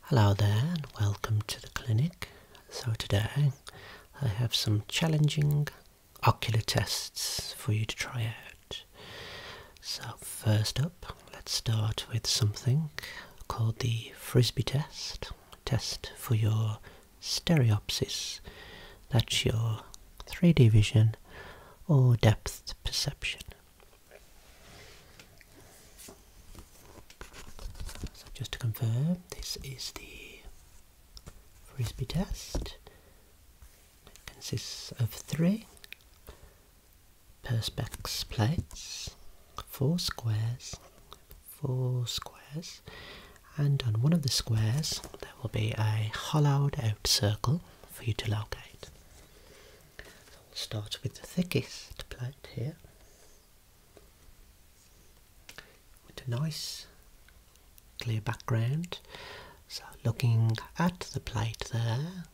Hello there and welcome to the clinic. So today I have some challenging ocular tests for you to try out. So first up let's start with something called the Frisbee test. Test for your stereopsis. That's your 3D vision or depth perception. So just to confirm, this is the frisbee test. It consists of three perspex plates, four squares, four squares, and on one of the squares there will be a hollowed out circle for you to locate. So will start with the thickest plate here with a nice clear background. So looking at the plate there,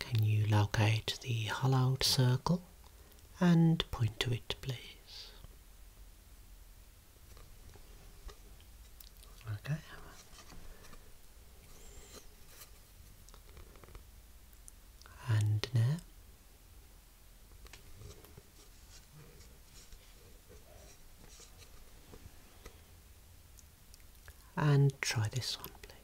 can you locate the hollowed circle and point to it please? Okay. And now, and try this one, please.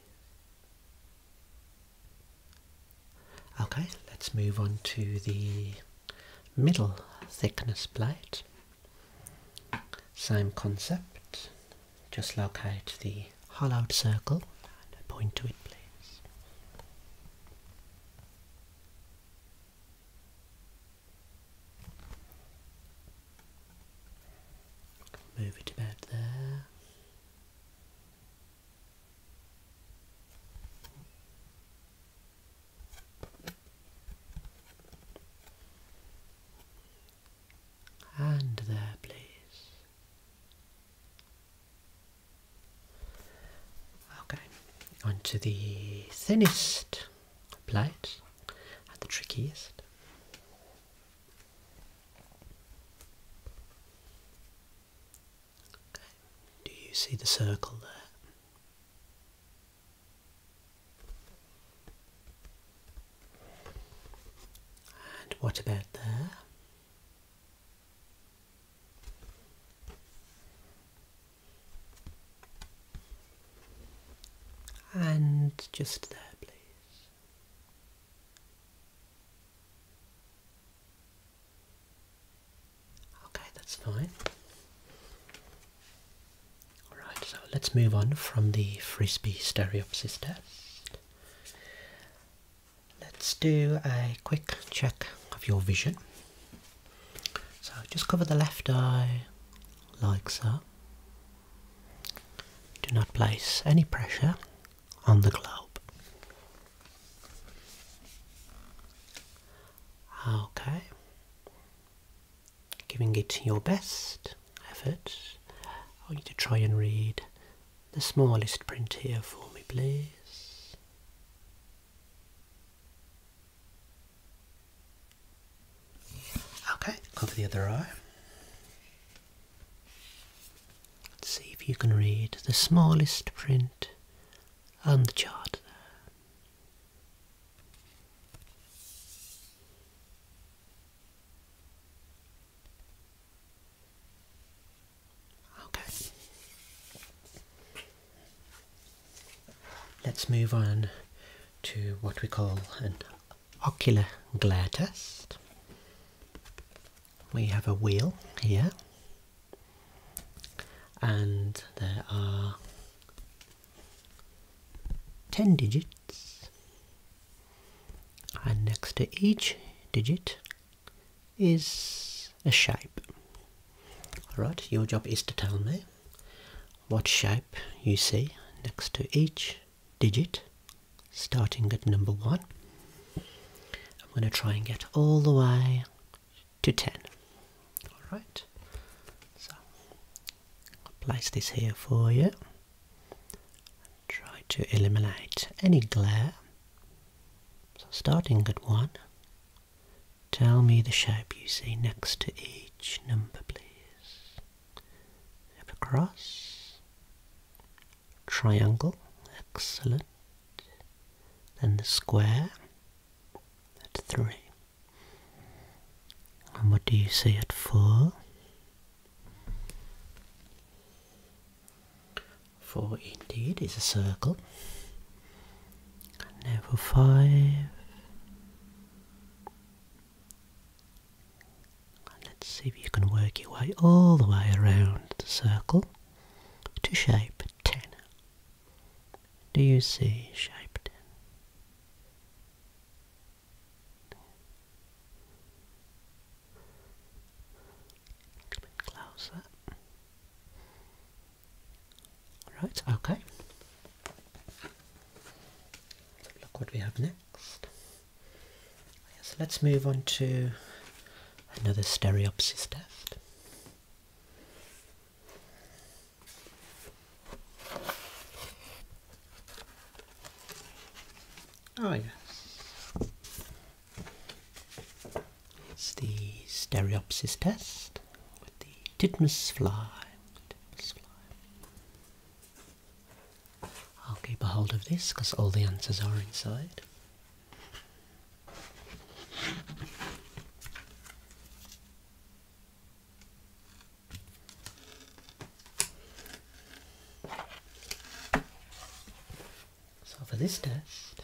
Okay, let's move on to the middle thickness plate. Same concept. Just locate the hollowed circle and point to it, please. Move it about there and there, please. Okay, onto the thinnest plate and the trickiest. Okay. Do you see the circle there? And what about there? And just there, please. Okay, that's fine. Alright, so let's move on from the frisbee stereopsis test. Let's do a quick check of your vision. So just cover the left eye like so. Do not place any pressure on the globe. Okay. Giving it your best efforts. I need to try and read the smallest print here for me, please. Okay, Cover the other eye. see if you can read the smallest print on the chart Okay. Let's move on to what we call an ocular glare test. We have a wheel here and there are 10 digits and next to each digit is a shape. Alright, your job is to tell me what shape you see next to each digit starting at number 1. I'm going to try and get all the way to 10. Alright, so I'll place this here for you try to eliminate any glare. So starting at 1, tell me the shape you see next to each number please. a cross, triangle, excellent, then the square at 3. And what do you see at 4? Four indeed is a circle. And five. let's see if you can work your way all the way around the circle to shape 10. Do you see shape 10? A little bit closer. Right, okay. Look what we have next. Yes, let's move on to another Stereopsis test. Oh yes. It's the stereopsis test with the titmus fly. fly. I'll keep a hold of this because all the answers are inside. So for this test,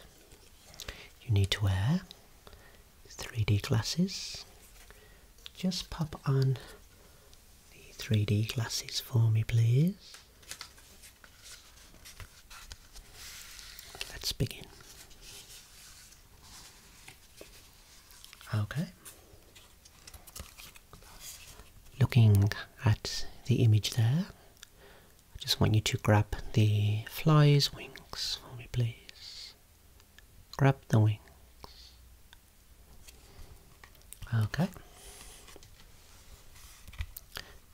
you need to wear 3D glasses. Just pop on the 3D glasses for me, please. Let's begin. Okay, Looking at the image there, I just want you to grab the fly's wings for me, please. Grab the wings. Okay.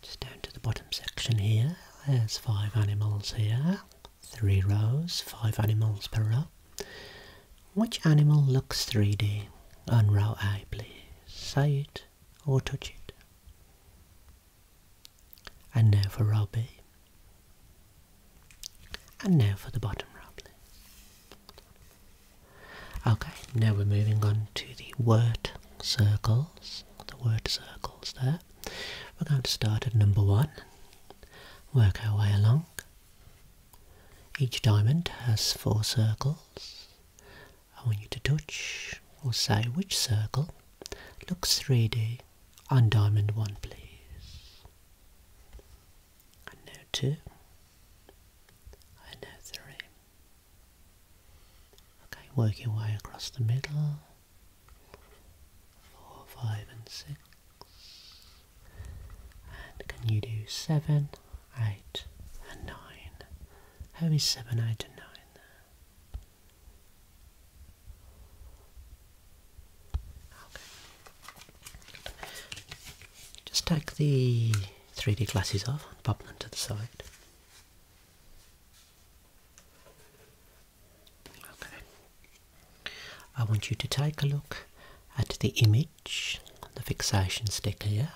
Just down to the bottom section here, there's five animals here, three rows, five animals per row. Which animal looks 3D on raw eye, please? Say it or touch it. And now for row B. And now for the bottom row, please. Okay, now we're moving on to the word circles. The word circles there. We're going to start at number one, work our way along. Each diamond has four circles. I want you to touch or say which circle looks 3D on diamond 1 please. And now 2. And now 3. Okay, work your way across the middle. 4, 5 and 6. And can you do 7 8 and 9. How is 7, 8 and 9 there? Okay. Just take the 3D glasses off and pop them to the side. Okay. I want you to take a look at the image the fixation stick here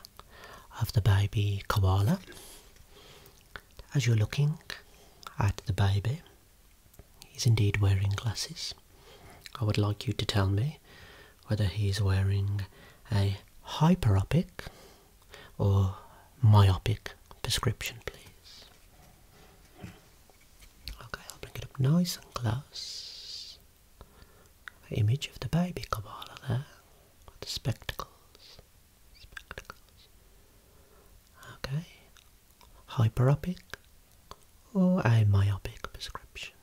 of the baby koala. As you're looking at the baby, he's indeed wearing glasses. I would like you to tell me whether he's wearing a hyperopic or myopic prescription, please. Okay, I'll bring it up nice and close image of the baby Kabbalah there, with the spectacles. Spectacles. Okay. Hyperopic or myopic prescription.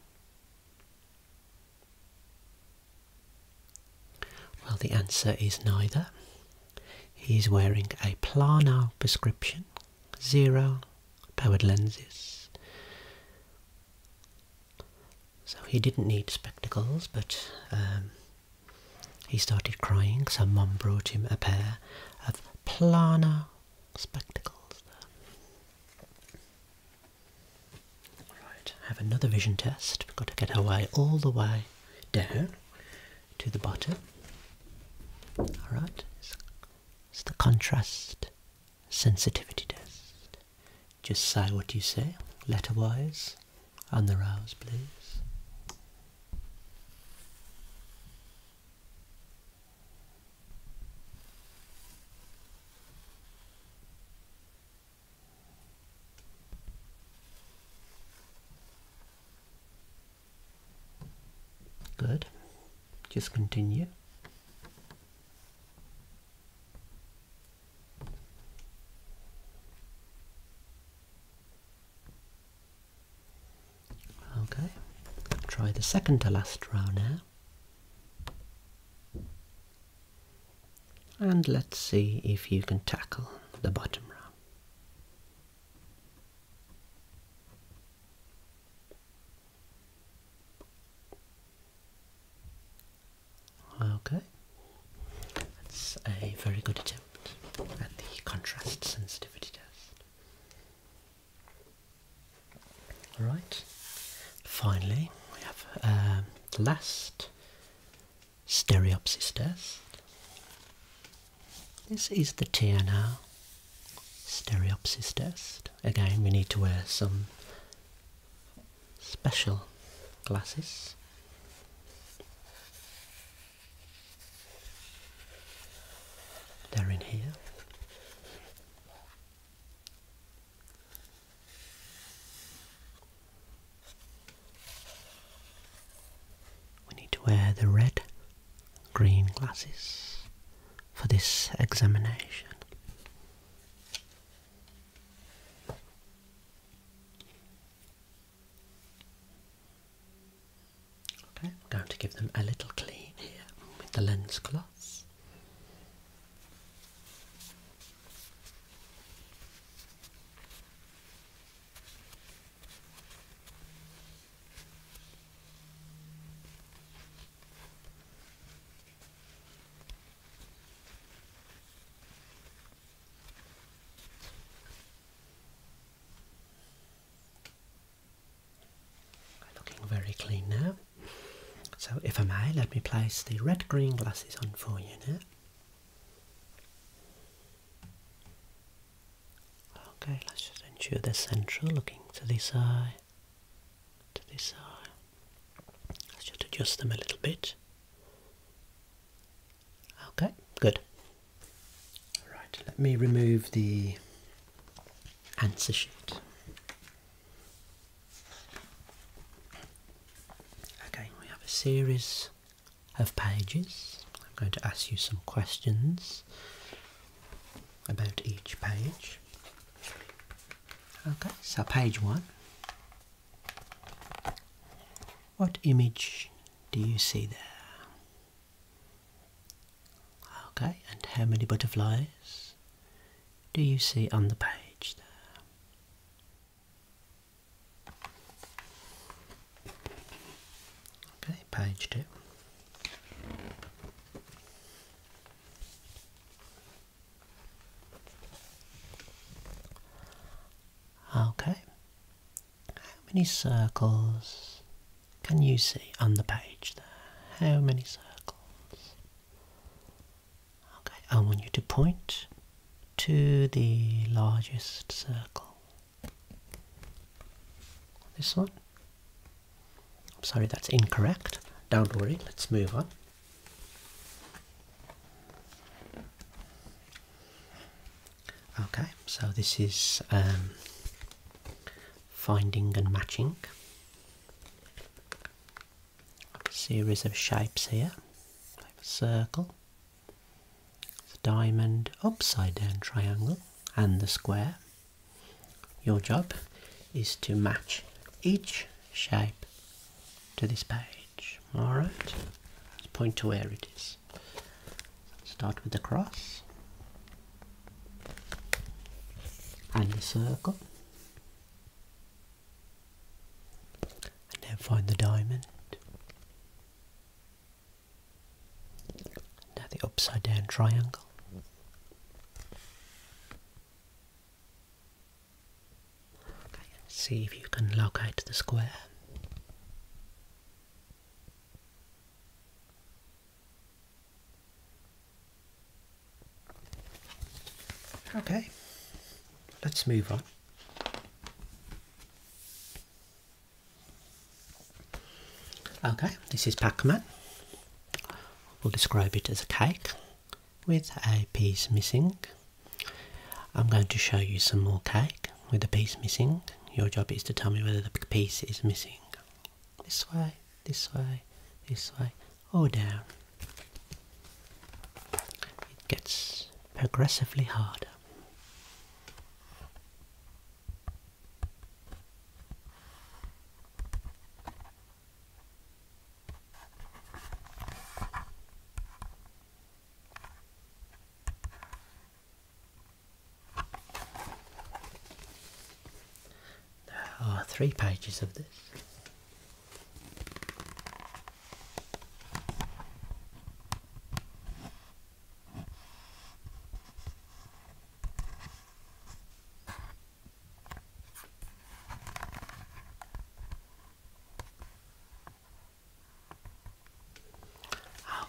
Well, the answer is neither. He is wearing a plano prescription, zero powered lenses, so he didn't need spectacles, but um, he started crying. So Mum brought him a pair of plano spectacles. Right, have another vision test. We've got to get our way all the way down to the bottom. Alright, it's the contrast sensitivity test. Just say what you say, letterwise, and the rows, please. Good. Just continue. Okay, try the second to last row now. And let's see if you can tackle the bottom row. Okay, that's a very good attempt at the contrast sensitivity test. Alright, finally we have um, the last stereopsis test. This is the TNR stereopsis test. Again, we need to wear some special glasses. They're in here. We need to wear the red green glasses for this examination. I'm going to give them a little clean here with the lens cloth. Looking very clean now. So, if I may, let me place the red green glasses on for you now. Okay, let's just ensure the central, looking to this eye to this eye. Let's just adjust them a little bit. Okay, good. Alright, let me remove the answer sheet. Okay, we have a series of pages. I'm going to ask you some questions about each page. Okay, so page one. What image do you see there? Okay, and how many butterflies do you see on the page there? Okay, page two. Okay, how many circles can you see on the page there? How many circles? Okay, I want you to point to the largest circle. This one. I'm sorry, that's incorrect. Don't worry, let's move on. Okay, so this is um, finding and matching. A series of shapes here, circle, the diamond, upside down triangle, and the square. Your job is to match each shape to this page. Alright, let's point to where it is. Start with the cross and the circle. And then find the diamond. Now the upside down triangle see if you can locate the square. Okay, let's move on. Okay, this is Pac-Man. We'll describe it as a cake with a piece missing. I'm going to show you some more cake with a piece missing. Your job is to tell me whether the piece is missing. This way, this way, this way, or down. It gets progressively harder. There are three pages of this.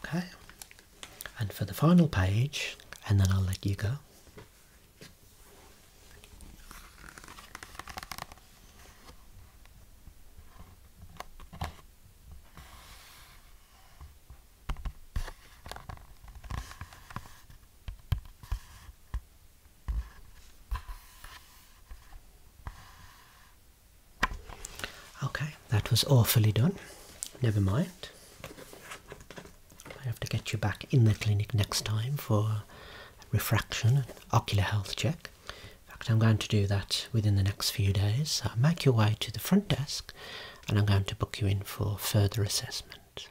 Okay, and for the final page, and then I'll let you go. Okay, that was awfully done. Never mind. I have to get you back in the clinic next time for refraction and ocular health check. In fact, I'm going to do that within the next few days. So make your way to the front desk and I'm going to book you in for further assessment.